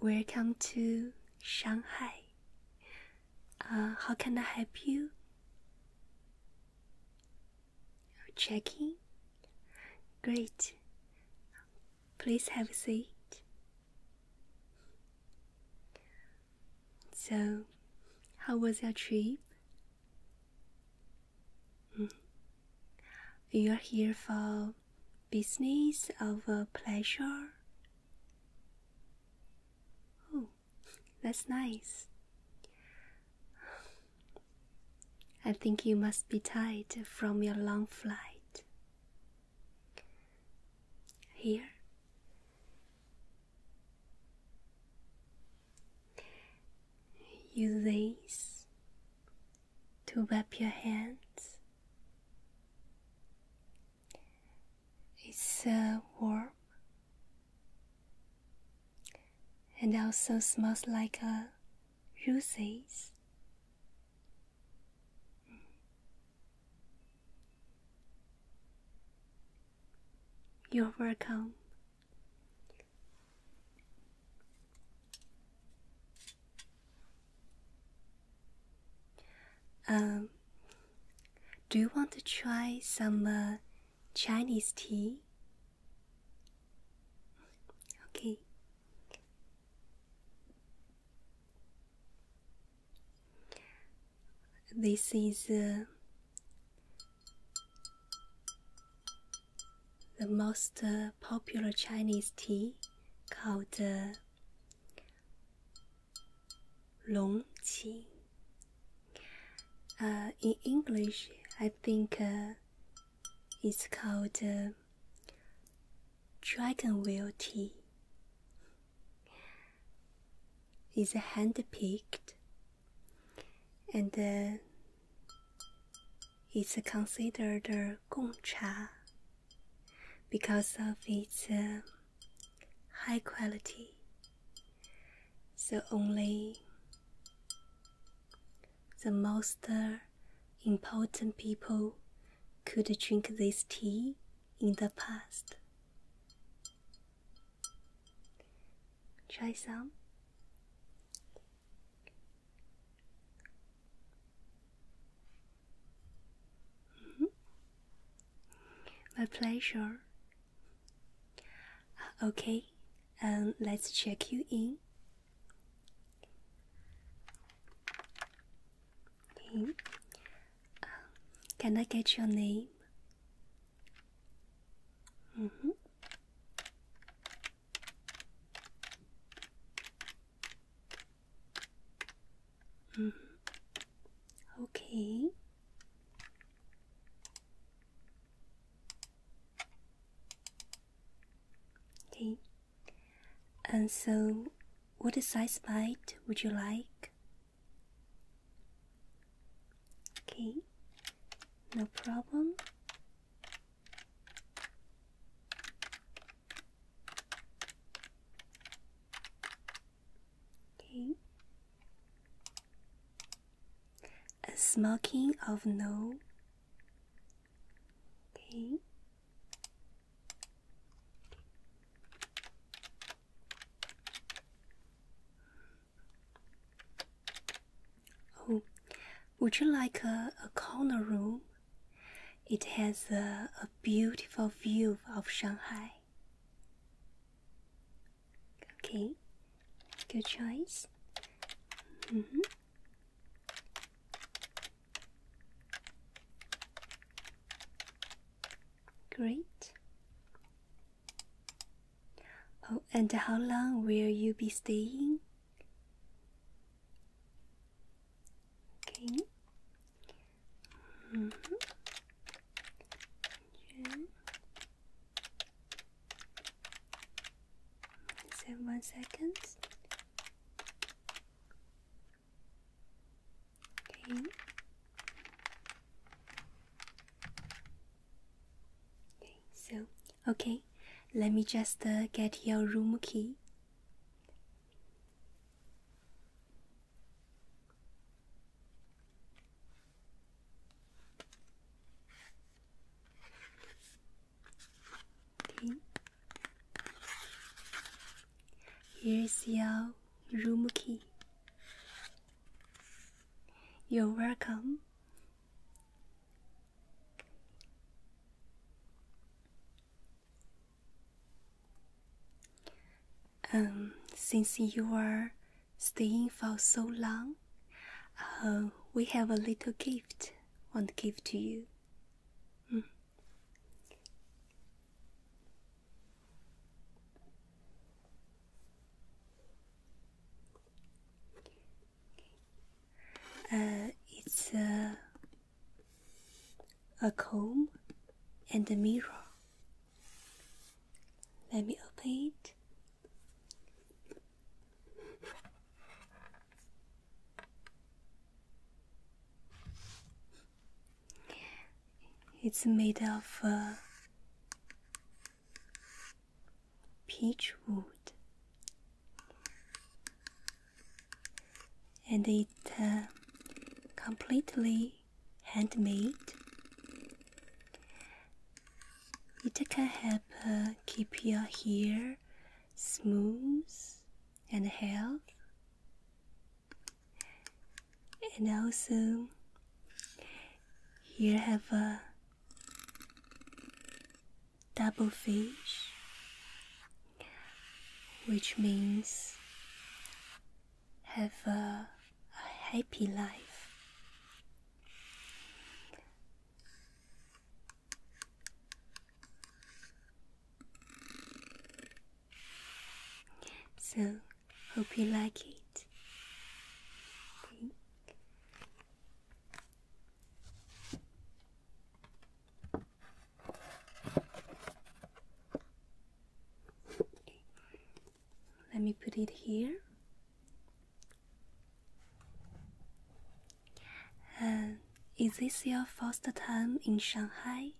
welcome to Shanghai. Uh, how can I help you? Checking. Great. Please have a seat. So, how was your trip? Hmm. You are here for business or uh, pleasure? Oh, that's nice. I think you must be tired from your long flight. Here, Use this to wipe your hands. It's uh, warm and also smells like a rose. You're welcome. Um, do you want to try some uh, Chinese tea? Okay. This is uh, the most uh, popular Chinese tea called uh, long qi. Uh, in English, I think it's called dragon wheel tea is hand picked and it's uh, considered uh, gongcha because of its uh, high quality. So only the most uh, important people could drink this tea in the past. Try some. Mm -hmm. My pleasure. Uh, okay, um, let's check you in. Uh, can I get your name? Mm -hmm. Mm -hmm. Okay. Okay. And so, what size bite would you like? Okay, no problem. Okay. A smoking of no. Okay. Oh, would you like a, corner room? It has a, beautiful view of Shanghai. Okay, good choice. Mm -hmm. Great. Oh, and how long will you be staying? Okay. -hmm. June. Seven Okay. Okay, so okay, let me just uh, get your room key. Okay. Here's your room key. You're welcome. Um, since you are staying for so long, uh, we have a little gift. Want to give to you. Hmm. Uh, it's a, uh, a comb and a mirror. Let me open it. It's made of uh, peach wood, and it uh, completely handmade. It can help uh, keep your hair smooth and healthy and also here I have a double fish which means have a, a, happy life. So, hope you like it. Let me put it here. Uh, is this your first time in Shanghai?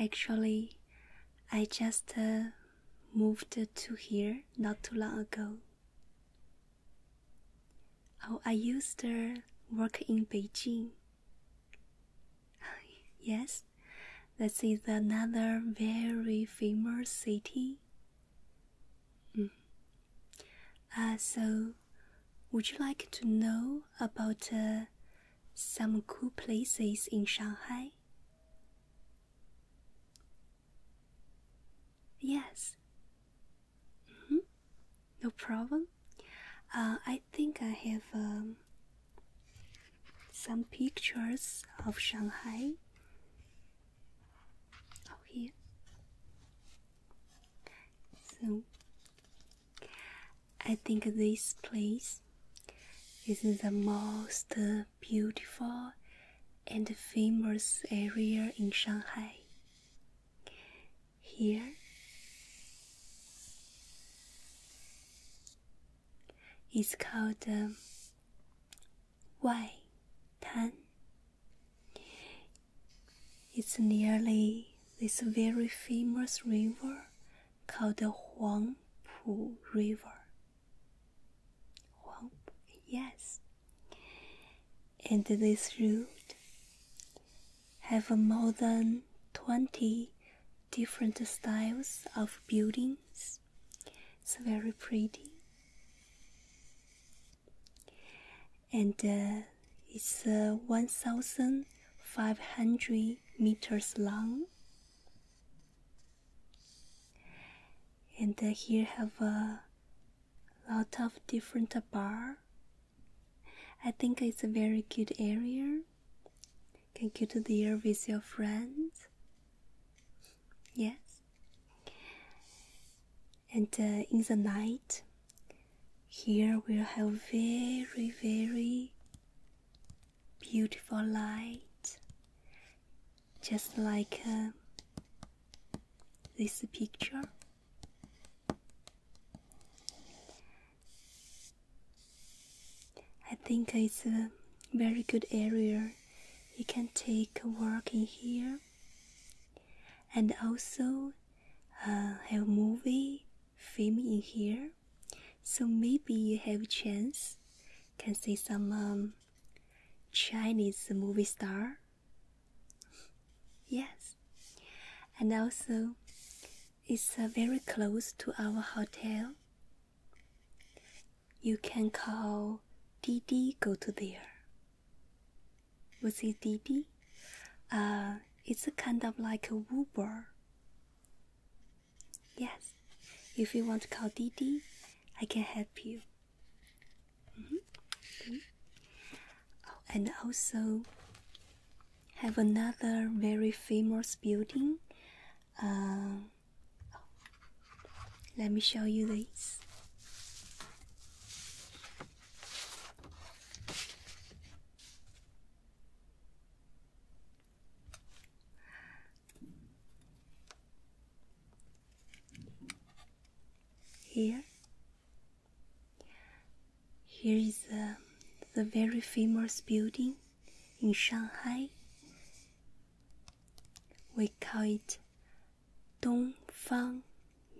Actually, I just uh, moved to here not too long ago. Oh, I used to uh, work in Beijing. yes, this is another very famous city. Mm. Uh, so, would you like to know about uh, some cool places in Shanghai? Yes. Mm -hmm. No problem. Uh, I think I have um, some pictures of Shanghai. Oh, here. So I think this place is the most beautiful and famous area in Shanghai. Here, it's called um, Wai Tan. It's nearly this very famous river called the Huangpu River. Huangpu, yes. And this route have more than 20 different styles of buildings. It's very pretty and uh, it's uh, 1,500 meters long. And uh, here have a lot of different bar. I think it's a very cute area. Can go to there with your friends. Yes. And uh, in the night, here we'll have very, very beautiful light, just like um, this picture. I think it's a very good area. You can take a walk in here, and also to uh, have movie filmed in here, so maybe you have chance can see some um, Chinese movie star. Yes, and also it's uh, very close to our hotel. You can call Didi go to there. Was it DB? Uh, it's kind of like a Uber. Yes, if you want to call DD, I can help you. Mm -hmm. oh, and also have another very famous building. Uh, oh, let me show you this. Here, here is um, the very famous building in Shanghai. We call it Dongfang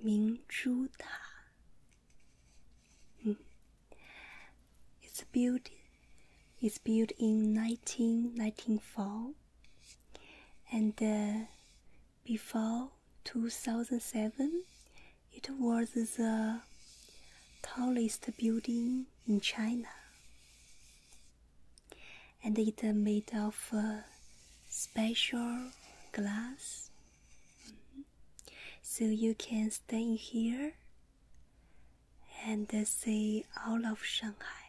Mingzhu Ta. Hmm. It's built. It's built in 1994, and uh, before 2007, it was the tallest building in China, and it made of uh, special glass. Hmm. So you can stay here and uh, see all of Shanghai.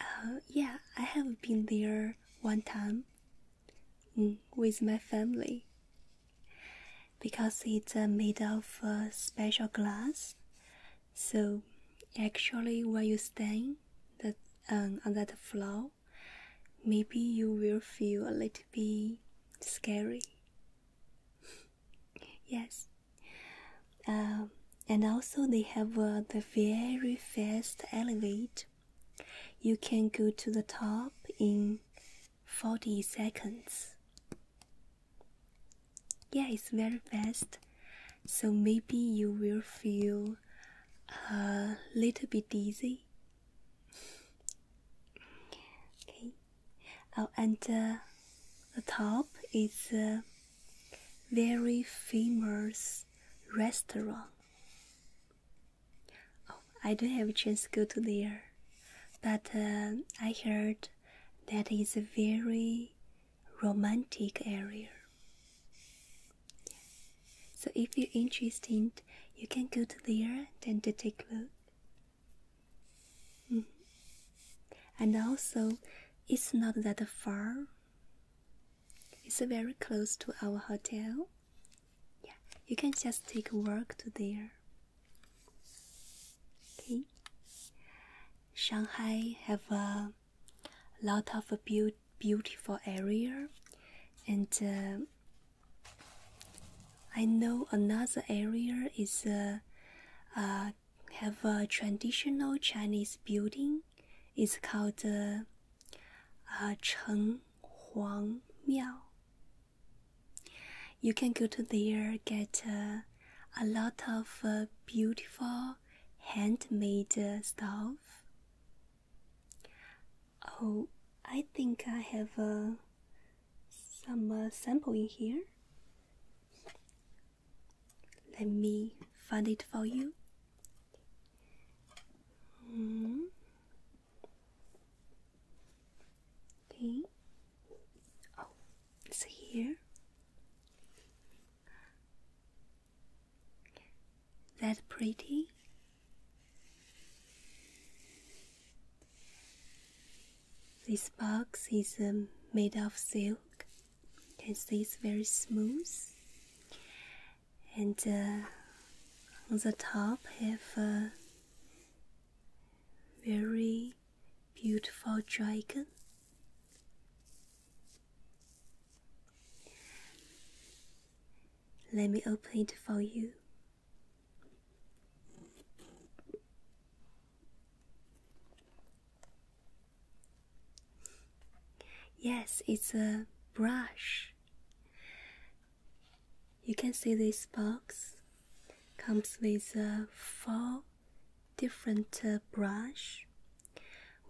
Uh, yeah, I have been there one time mm, with my family because it's uh, made of uh, special glass. So, actually, where you stay, that, um, on that floor, maybe you will feel a little bit scary. yes. Um, and also, they have uh, the very fast elevator. You can go to the top in 40 seconds. Yeah, it's very fast. So maybe you will feel a little bit dizzy. okay. Oh, and uh, the top is a very famous restaurant. Oh, I don't have a chance to go to there, but uh, I heard that is a very romantic area. So if you're interested, you can go to there and to take a look. Mm-hmm. And also, it's not that far. It's very close to our hotel. Yeah, you can just take a walk to there. Okay. Shanghai have a lot of a beautiful area and uh, I know another area is uh, uh, have a traditional Chinese building. It's called uh, uh, Cheng Huang Miao. You can go to there get uh, a lot of beautiful handmade stuff. Oh, I think I have uh, some uh, sample in here. Let me find it for you. Mm. Okay. Oh, it's here. That pretty? This box is um, made of silk. You can see it's very smooth. And uh, on the top have a uh, very beautiful dragon let me open it for you. Yes, it's a brush. You can see this box comes with uh, four different uh, brush,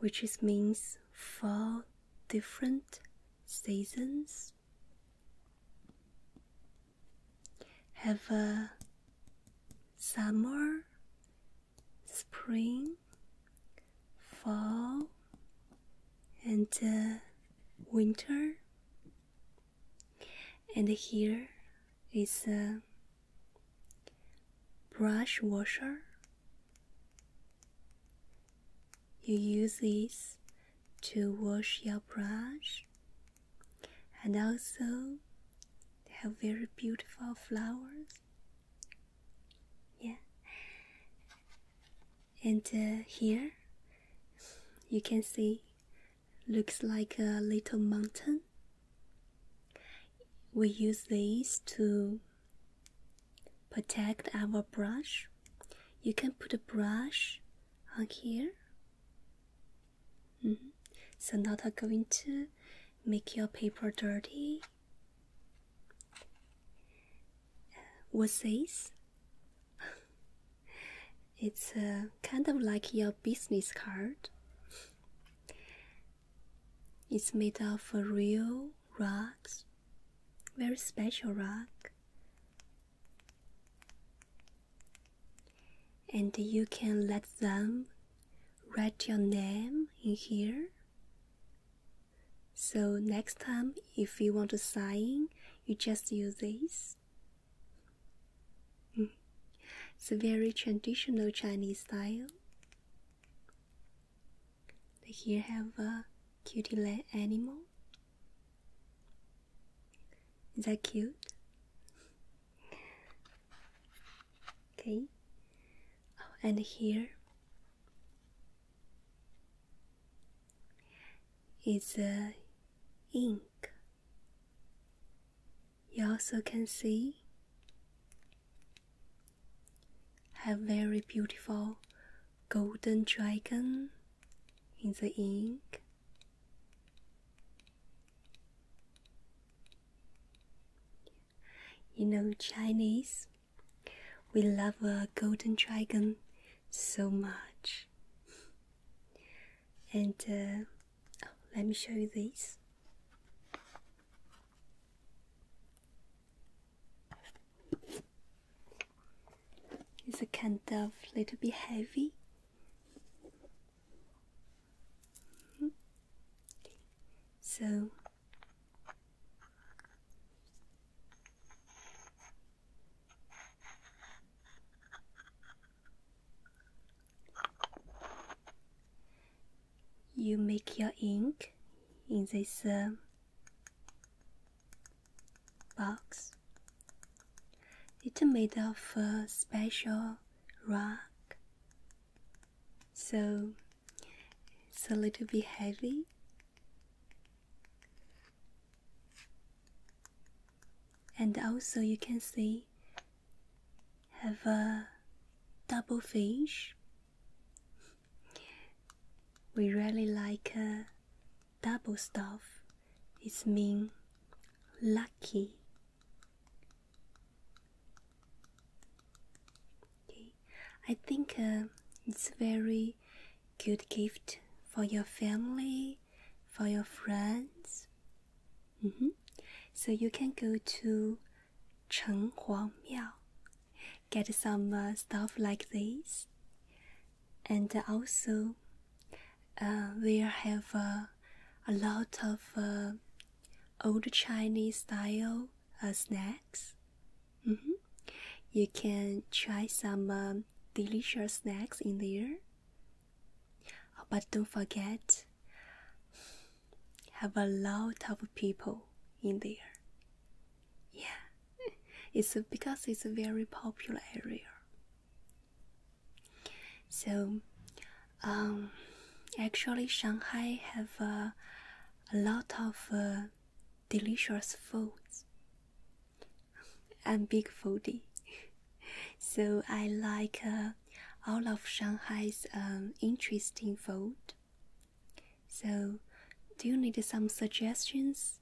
which means four different seasons have a summer, spring, fall, and winter. And here is a brush washer you use this to wash your brush and also they have very beautiful flowers. Yeah. And uh, here you can see looks like a little mountain. We use these to protect our brush you can put a brush on here mm-hmm. so not going to make your paper dirty uh, what's this it's uh, kind of like your business card it's made of real rocks, very special rock. And you can let them write your name in here. So next time, if you want to sign, you just use this. Mm. It's a very traditional Chinese style. They here have a cutie little animal. Is that cute? Okay. Oh, and here is a ink. You also can see have very beautiful golden dragon in the ink. You know, Chinese, we love a golden dragon so much. And uh, oh, let me show you this. It's a kind of little bit heavy. Hmm. So you make your ink in this um, box. It's made of a special rock, so it's a little bit heavy. And also, you can see have a double fish we really like uh, double stuff. It's mean lucky. Okay. I think uh, it's very good gift for your family, for your friends. Mm -hmm. So you can go to Chenghuang Miao get some uh, stuff like this, and also uh, we have uh, a lot of uh, old Chinese style snacks. Mm-hmm. You can try some um, delicious snacks in there. but don't forget, have a lot of people in there. Yeah, it's because it's a very popular area. So, um, actually, Shanghai have uh, a lot of uh, delicious foods. I'm big foodie, so I like uh, all of Shanghai's um, interesting food so, do you need some suggestions?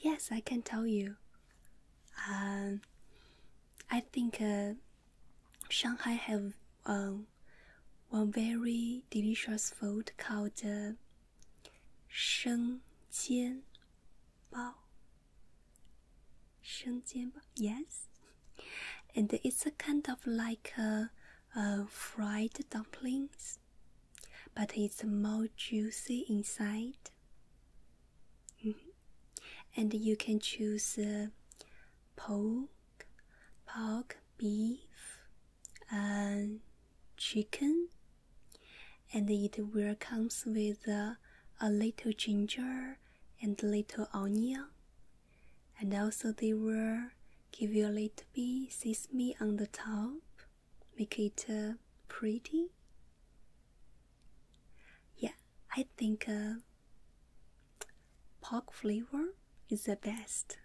Yes, I can tell you. Um, I think uh, Shanghai has um, uh, one very delicious food called uh, sheng bao yes and it's a kind of like a, fried dumplings but it's more juicy inside mm-hmm. and you can choose uh, pork pork beef and chicken and it will comes with a little ginger and little onion, and also they will give you a little bit me on the top, make it uh, pretty. Yeah, I think uh, pork flavor is the best.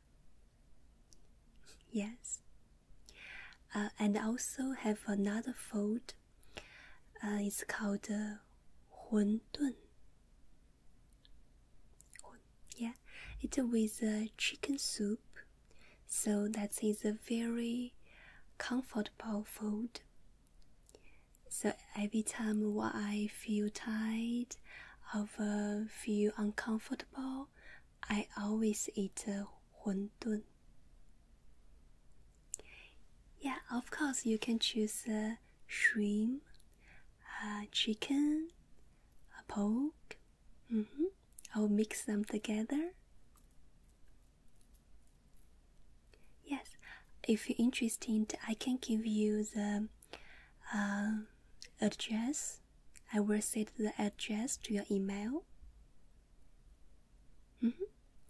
Yes. Uh, and also have another food uh, it's called uh, Huntun. Yeah, it's with a chicken soup, so that is a very comfortable food. So every time when I feel tired or feel uncomfortable, I always eat uh, huntun. Yeah, of course you can choose shrimp, a uh, chicken, a pork. Mm -hmm. I'll mix them together. Yes, if you're interested, I can give you the um, address. I will send the address to your email. Mm -hmm.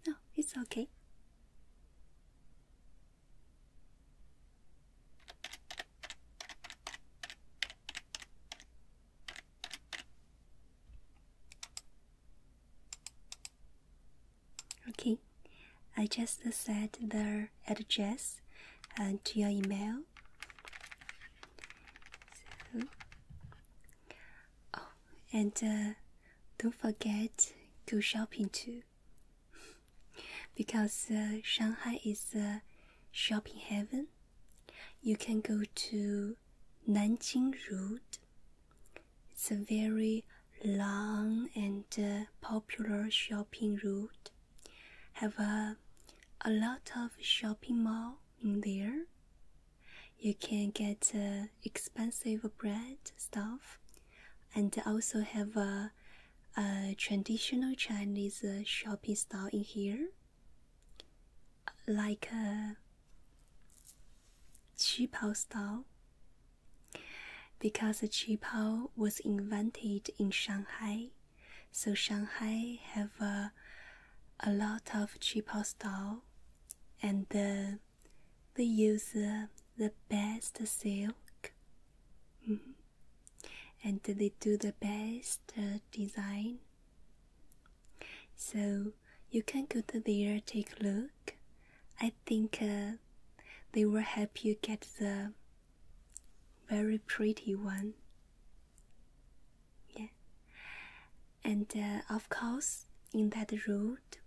No, it's okay. Okay, I just said the address and uh, to your email. oh, and uh, don't forget go shopping too because uh, Shanghai is a shopping heaven. You can go to Nanjing Road. It's a very long and uh, popular shopping route. Have a a lot of shopping mall in there. You can get uh, expensive bread stuff and they also have a, traditional Chinese uh, shopping style in here, like a uh, qipao style, because qipao was invented in Shanghai, so Shanghai have a, a lot of qipao style, and. Uh, they use the best silk mm-hmm. and they do the best uh, design. So you can go to there, take a look. I think uh, they will help you get the very pretty one. Yeah, and uh, of course, in that route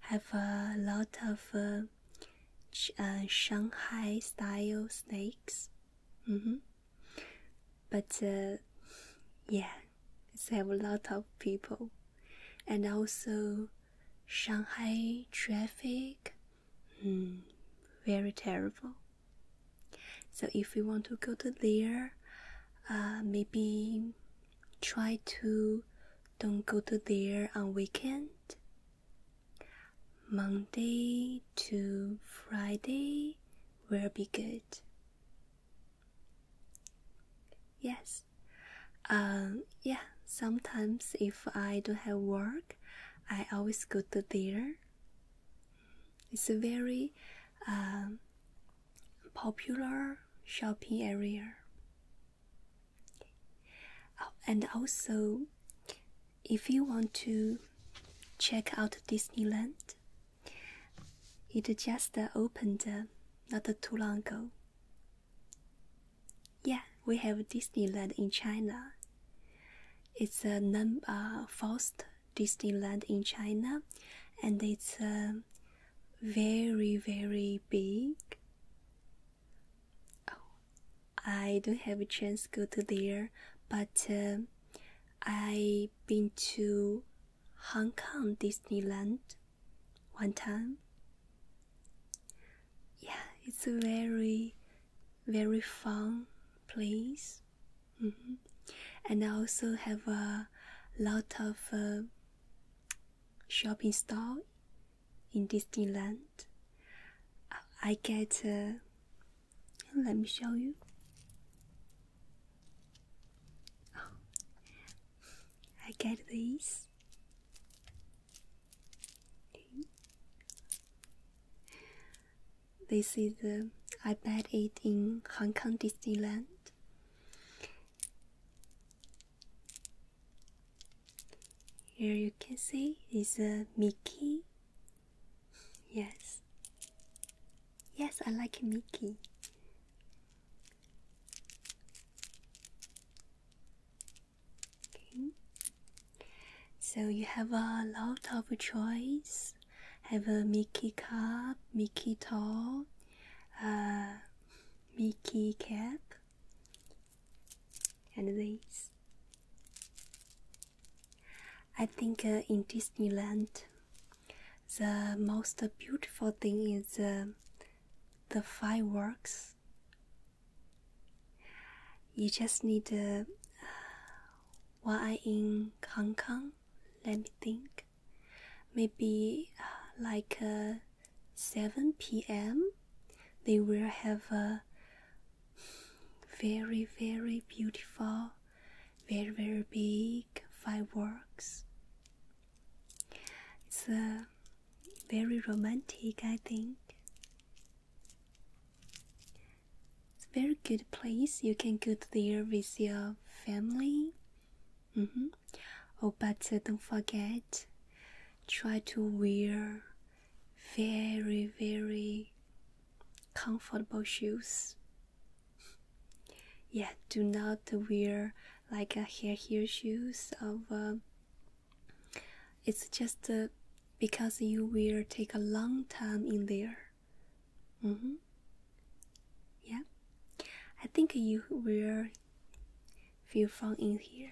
have a lot of uh, uh Shanghai style snakes. Mm -hmm. But uh, yeah, it's have a lot of people, and also Shanghai traffic, mm, very terrible. So if we want to go to there, uh, maybe try to don't go to there on weekend monday to friday will be good yes um yeah sometimes if i don't have work i always go to there it's a very um, popular shopping area Oh, and also, if you want to check out Disneyland, it just opened uh, not too long ago. Yeah, we have Disneyland in China. It's the uh, number uh, first Disneyland in China, and it's uh, very, very big? Oh, I don't have a chance to go to there, but uh, I've been to Hong Kong Disneyland one time. Yeah, it's a very, very fun place. Mm-hmm. And I also have a lot of uh, shopping store in Disneyland. I get. Uh, let me show you. Oh. I get these. This is, uh, I bought it in Hong Kong Disneyland. Here you can see is a Mickey. Yes. Yes, I like Mickey. Okay. So you have a lot of choice. Have a Mickey cup, Mickey doll, uh, Mickey cap and these. I think uh, in Disneyland the most beautiful thing is uh, the fireworks. You just need uh, while i in Hong Kong, let me think maybe uh, like uh, 7 p.m. They will have a very, very beautiful, very, very big fireworks. It's uh, very romantic, I think. It's a very good place. You can go there with your family Mm -hmm. Oh, but uh, don't forget, try to wear very, very comfortable shoes. Yeah, do not wear like a hair heel shoes of. Uh, it's just uh, because you will take a long time in there. Mm -hmm. Yeah, I think you wear. Feel from in here.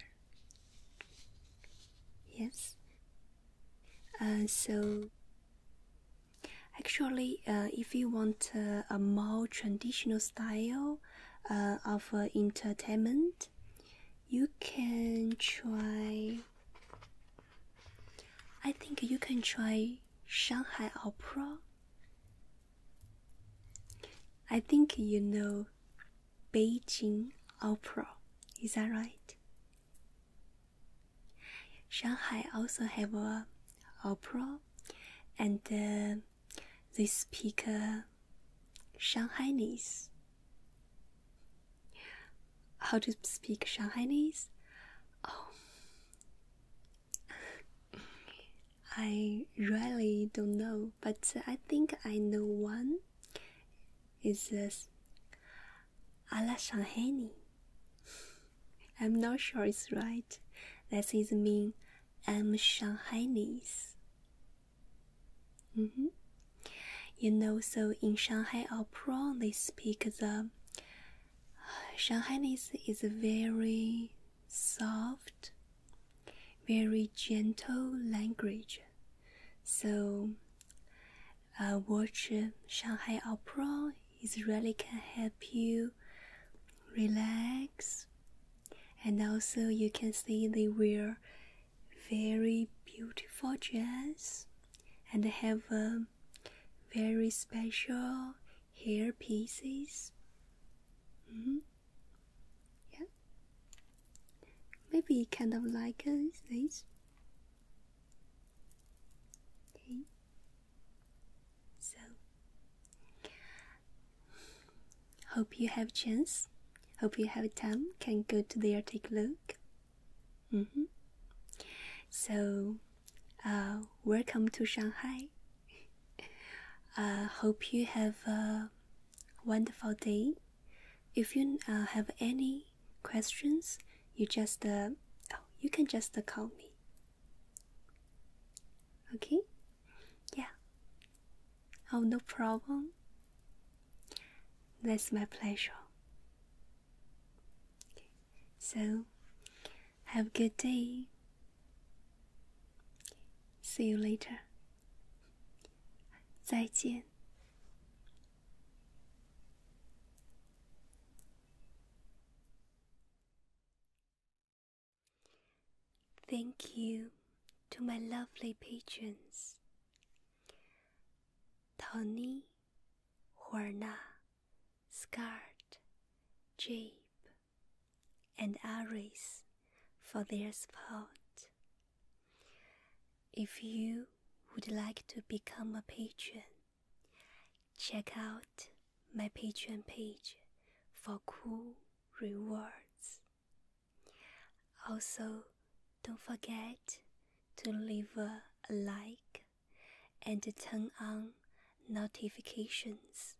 Yes. Uh, so, actually, uh, if you want uh, a more traditional style uh, of uh, entertainment, you can try. I think you can try Shanghai Opera. I think you know Beijing Opera, is that right? Shanghai also have a opera, and uh, they speak uh, How to speak Shanghaiese? Oh, I really don't know, but I think I know one. It's this Ala Shanghani? I'm not sure it's right. That is mean I'm Shanghaiese. Mm -hmm. You know, so in Shanghai I they speak the Shanghaiese. is very soft, very gentle language. So, uh, watching Shanghai Opera. is really can help you relax, and also you can see they wear very beautiful dress and have um, very special hair pieces. -hmm. Yeah? Maybe kind of like uh, this. Okay. So hope you have a chance. Hope you have time. Can go to there take a look. Mm -hmm. So, uh, welcome to Shanghai. I uh, hope you have a wonderful day. If you uh, have any questions, you just uh, oh, you can just call me. Okay? Yeah. Oh, no problem. That's my pleasure. So, have a good day. See you later. 再见。Thank you to my lovely patrons Tony, Huerna, Scart, Jabe, and others for their support. If you would like to become a patron, check out my Patreon page for cool rewards. Also, don't forget to leave a like and turn on notifications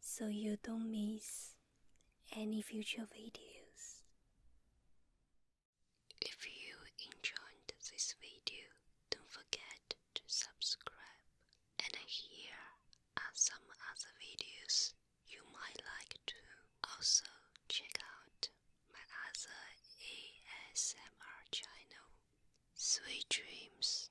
so you don't miss any future videos. If you enjoyed this video, don't forget to subscribe. And here are some other videos you might like to also check out my other ASMR channel, Sweet Dreams.